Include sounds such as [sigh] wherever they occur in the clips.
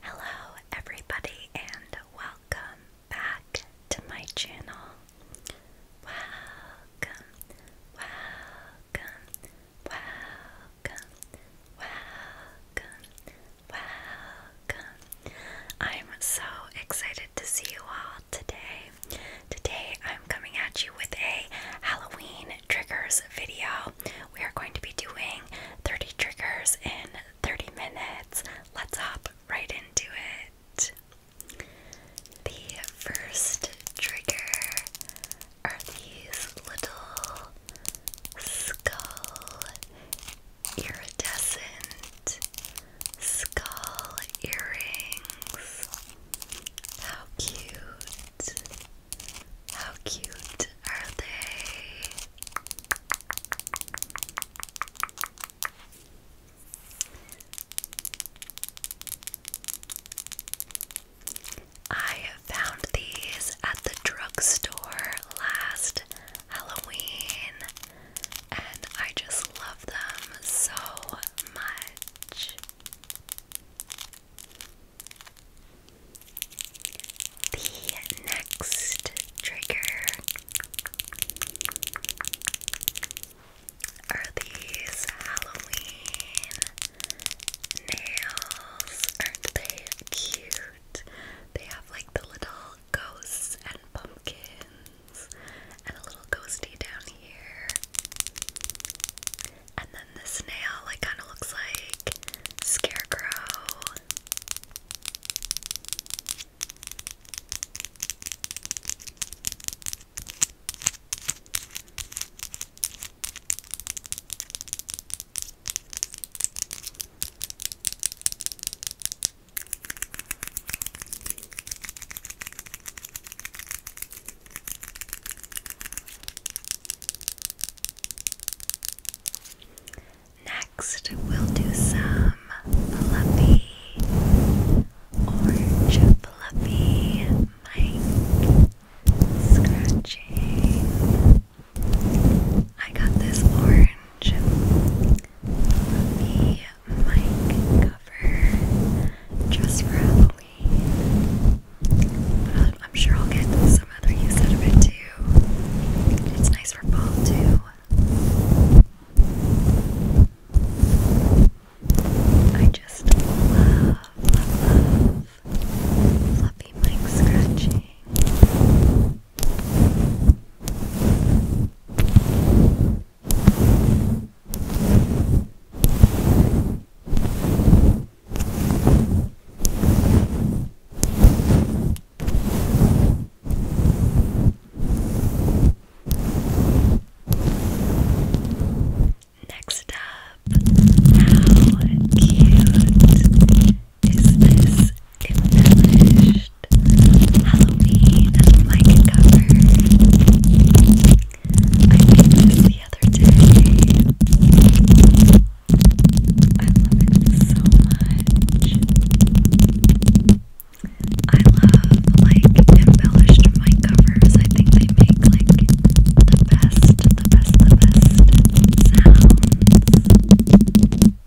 Hello, everybody, and welcome back to my channel. Welcome, welcome, welcome, welcome, Welcome. I'm so excited to see you all today. Today I'm coming at you with a Halloween triggers video. We are going to be doing 30 triggers in 30 minutes. Let's hop right into it. The first trigger are these little skull iridescent skull earrings. How cute! How cute are they? I found these at the drugstore last Halloween and I just love them so much. The next trigger are these Halloween nails. Aren't they cute? They have like the little ghosts and pumpkins, and a little ghosty down here. And then the snail, like, kind of looks like scarecrow. Next, we'll do some fluffy orange fluffy mic scratching. I got this orange fluffy mic cover just for Halloween. But i am sure I'll get some other use out of it too. It's nice for fall too. I just love, love fluffy mic scratching. Next up, how cute is this embellished Halloween like cover. I made this the other day. I love it so much. I love like embellished mic covers. I think they make like the best, the best, the best sounds.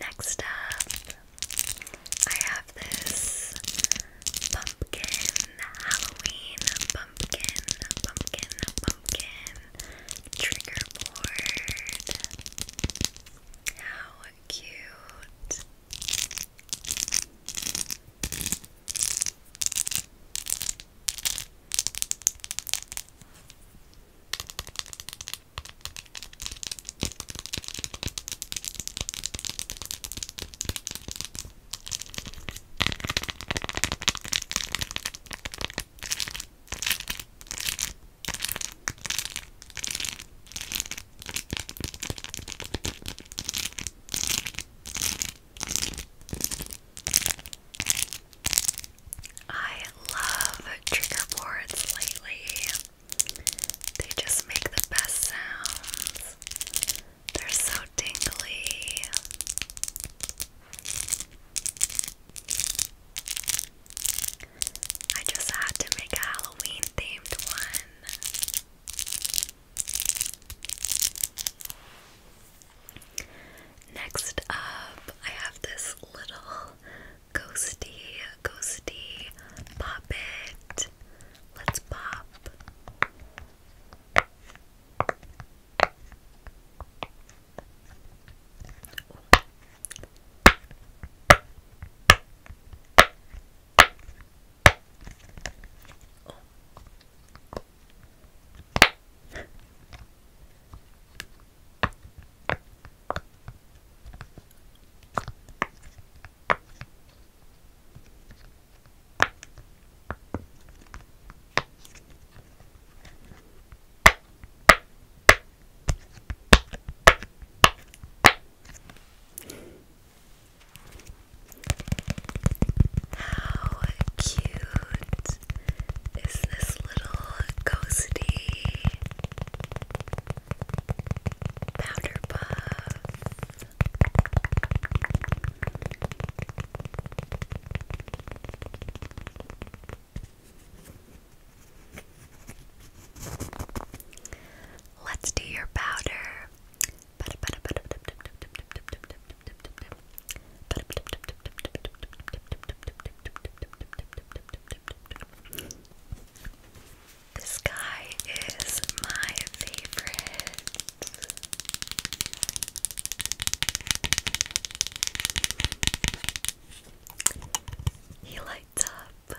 Next up, I have this pumpkin, Halloween pumpkin, pumpkin, pumpkin trigger board. How cute! I love trigger boards lately. They just make the best sounds. They're so tingly. I just had to make a Halloween themed one. Next up, I have this little Ghosty, ghosty, pop Let's pop. How cute is this little ghosty? Powder puff. Let's do your powder. This guy is my favorite. He lights up.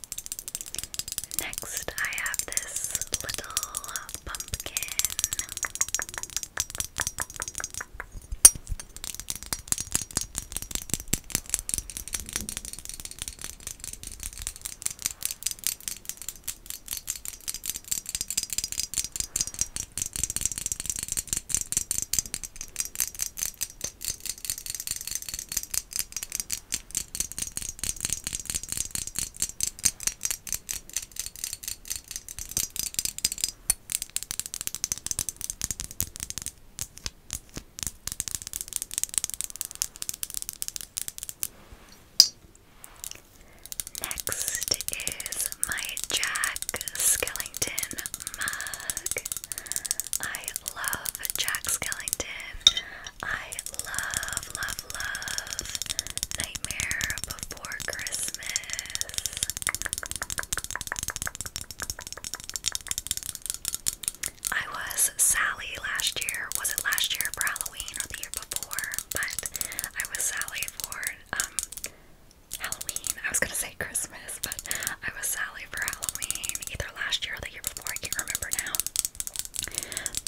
Next, I have this little pumpkin. Next is my Jack Skellington mug. I love Jack Skellington. I love, love, love Nightmare Before Christmas. I was Sally last year. Was it last year for Halloween or the year before? But I was Sally for um Halloween. I was gonna say Christmas, but I was Sally for Halloween either last year or the year before. I can't remember now.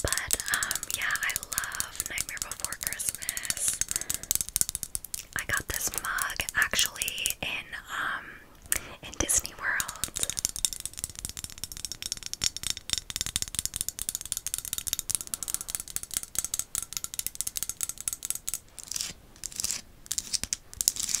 But um, yeah, I love Nightmare Before Christmas. I got this mug actually in um in Disney World.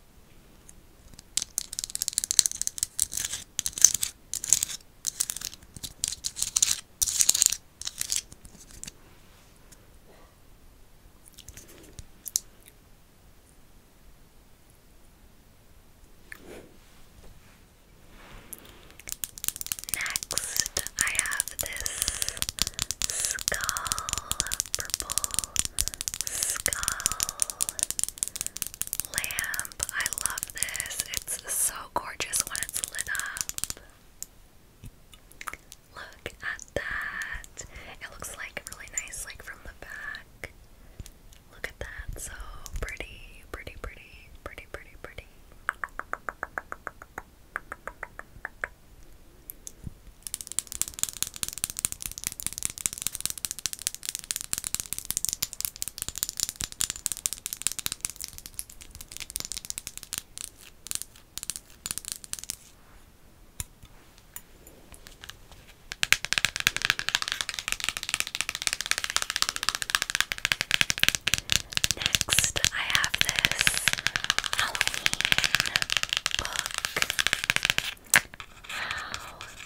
Next, I have this skull, purple skull lamp. I love this. It's so gorgeous when it's lit up. Look at that. It looks like really nice like from the back. Look at that. So pretty, pretty, pretty, pretty, pretty, pretty. Next, I have this Halloween book. How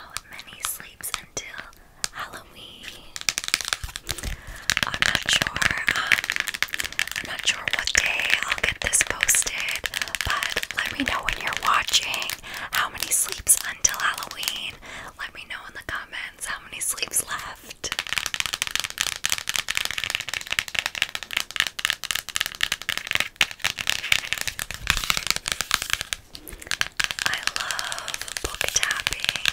How many sleeps until Halloween? I'm not sure. Um, I'm not sure what day I'll get this posted, but let me know when you're watching how many sleeps until Halloween. Let me know in the comments how many sleeps left. I love book tapping.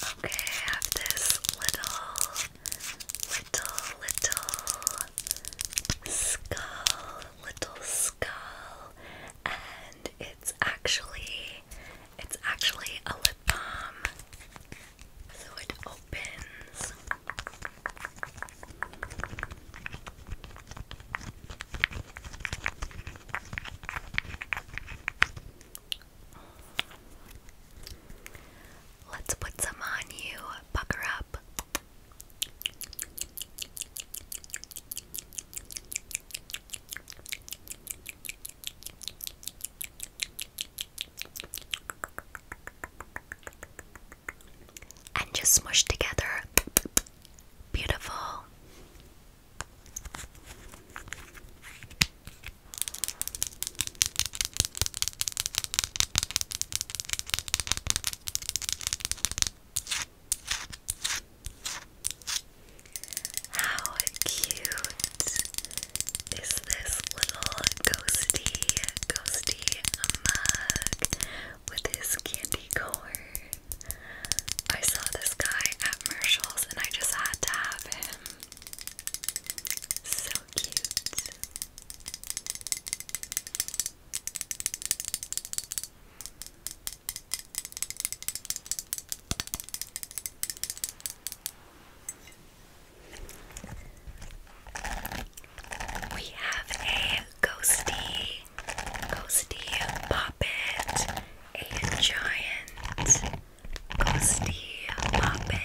Okay, I have this little, little, little skull, little skull, and it's actually, it's actually a lip balm. So it opens. Let's put some on you. Pucker up. And just smush together. Beautiful. How cute is this little ghosty, ghosty mug with his candy corn? I saw this guy at Marshall's and I just had to have him. So cute. We have a ghosty, ghosty puppet, a giant Ghosty Muppet.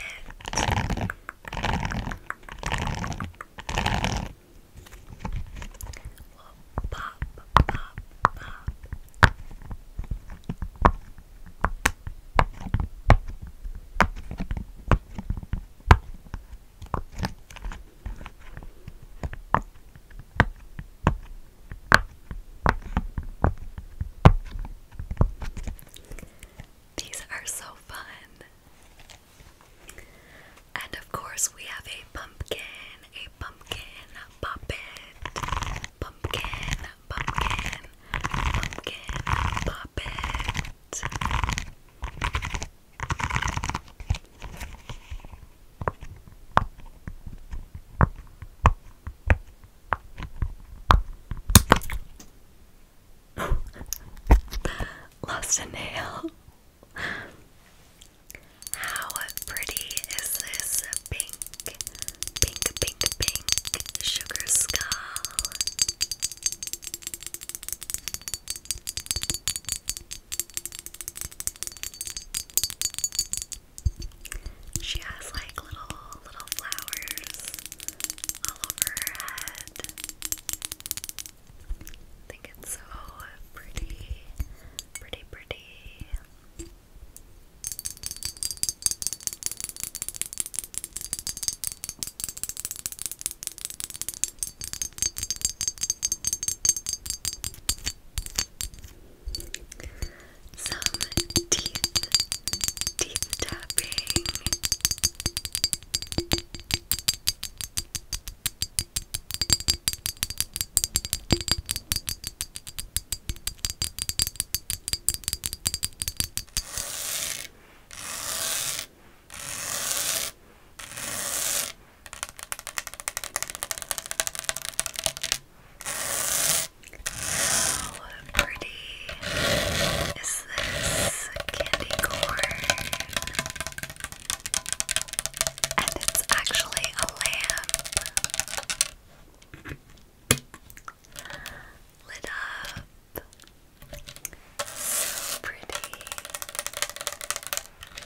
Well, pop, pop. Pop, these are so fun. And of course, we have a pumpkin, a pumpkin puppet, pumpkin, pumpkin, pumpkin puppet. [laughs] Lost a nail. How pretty is this pink, pink, pink, pink sugar skull? She has like little little flowers all over her head. I think it's so pretty, pretty, pretty some teeth, teeth tapping. How pretty is this candy corn? And it's actually a lamp lit up. So pretty.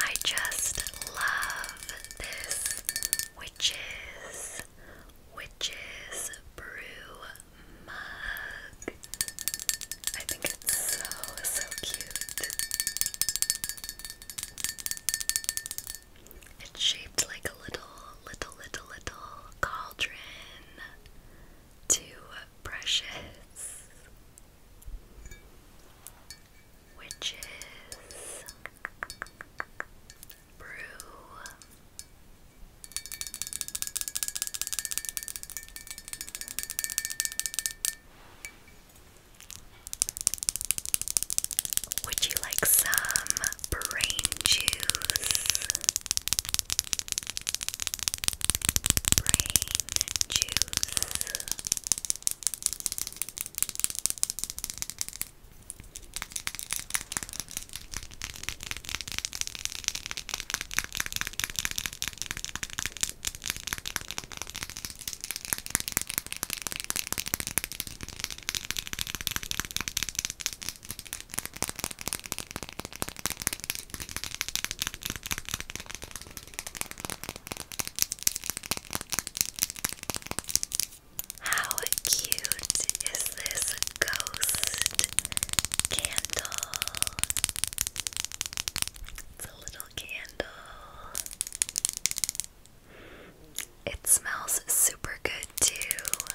I just love this witches witches brew mug. I think it's so so cute. It's shaped like a little little little little cauldron. Too precious which is brew. Would you like some brain juice? brain juice. Now how cute is this ghost candle? It's a little candle. It smells super good, too.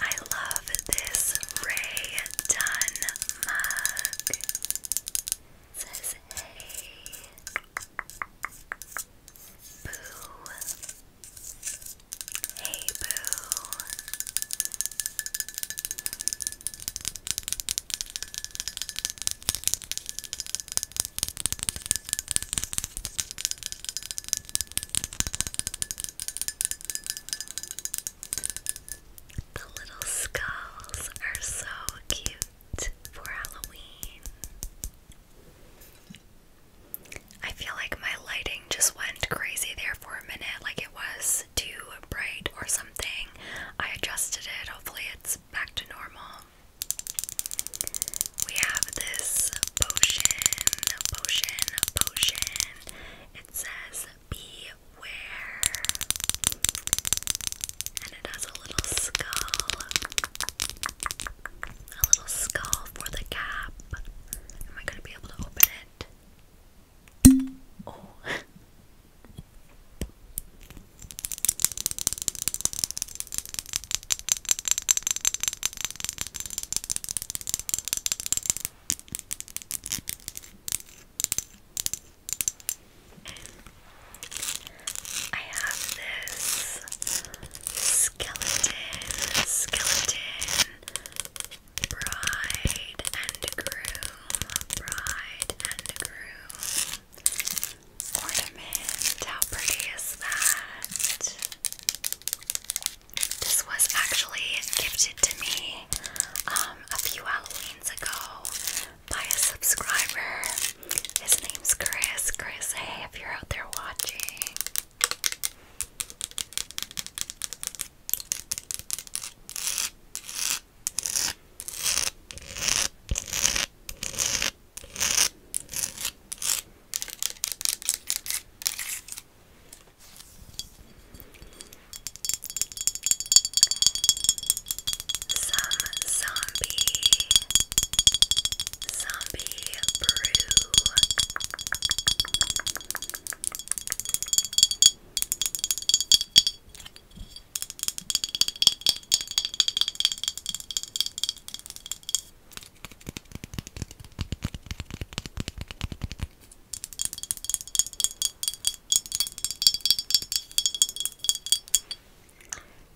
I love this Ray Dunn mug. says, Hey, Boo. Hey, Boo. The little skulls are so cute for Halloween. I feel like my lighting just went crazy there for a minute, like it was too bright or something. I adjusted it, hopefully, it's back to normal. We have this potion, potion, potion. It says beware. And it has a little skull. A little skull for the cap. Am I gonna be able to open it? Oh. I have this skeleton, skeleton, bride and groom, bride and groom ornament. How pretty is that? This was actually gifted to me um, a few Halloweens ago by a subscriber. His name's Chris. Chris, hey, if you're out there watching some zombie zombie brew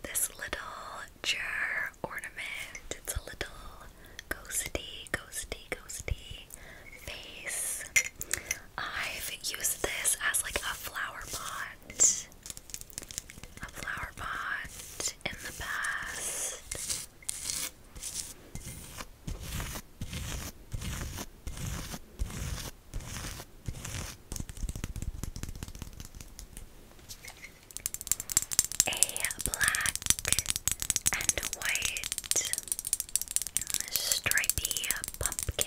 this little jar ornament. It's a little ghosty, ghosty, ghosty face. I've used this as like a flower pot. A flower pot in the past. A black and white stripy pumpkin.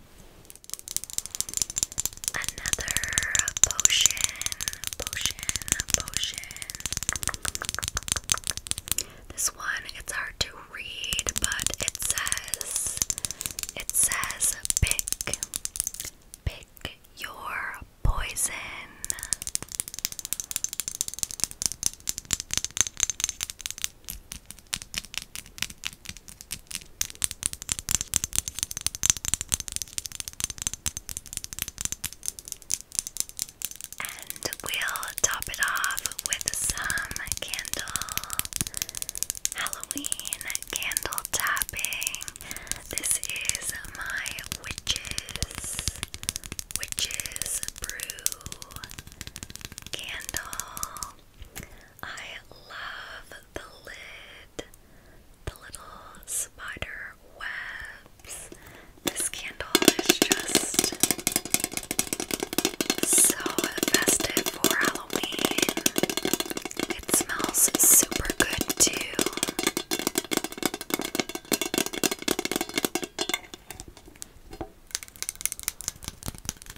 Another potion, potion, potion. This one, it's hard to read, but it says, it says, pick, pick your poison. And we'll top it off with some candle Halloween candle tapping. This is my witches witches brew candle. I love the lid, the little spider webs. This candle is just so festive for Halloween. It smells super good too.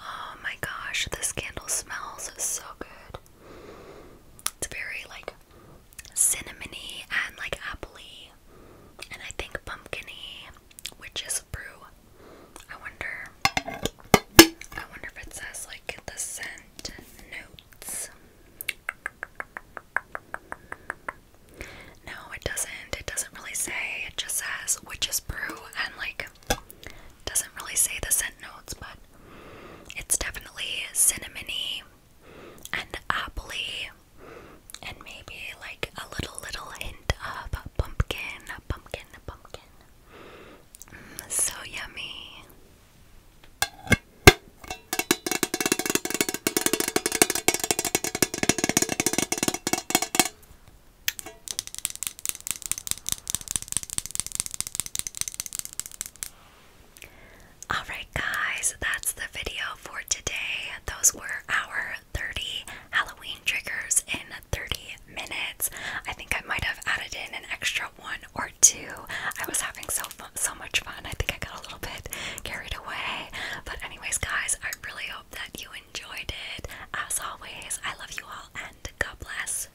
Oh my gosh, this candle smells so good. It's very like cinnamony and like appley, and I think pumpkiny, which is brew I wonder. I wonder if it says like the scent notes. No, it doesn't. It doesn't really say. It just says witch's brew and like doesn't really say the scent notes, but it's definitely cinnamony and appley and maybe like a little little hint of pumpkin, pumpkin, pumpkin. Mm, so yummy. Alright, guys, that's the video for today. Those were our 30 Halloween triggers in 30 minutes. I think I might have added in an extra one or two. I was having so so much fun. I think I got a little bit carried away. But anyways, guys, I really hope that you enjoyed it. As always, I love you all and God bless.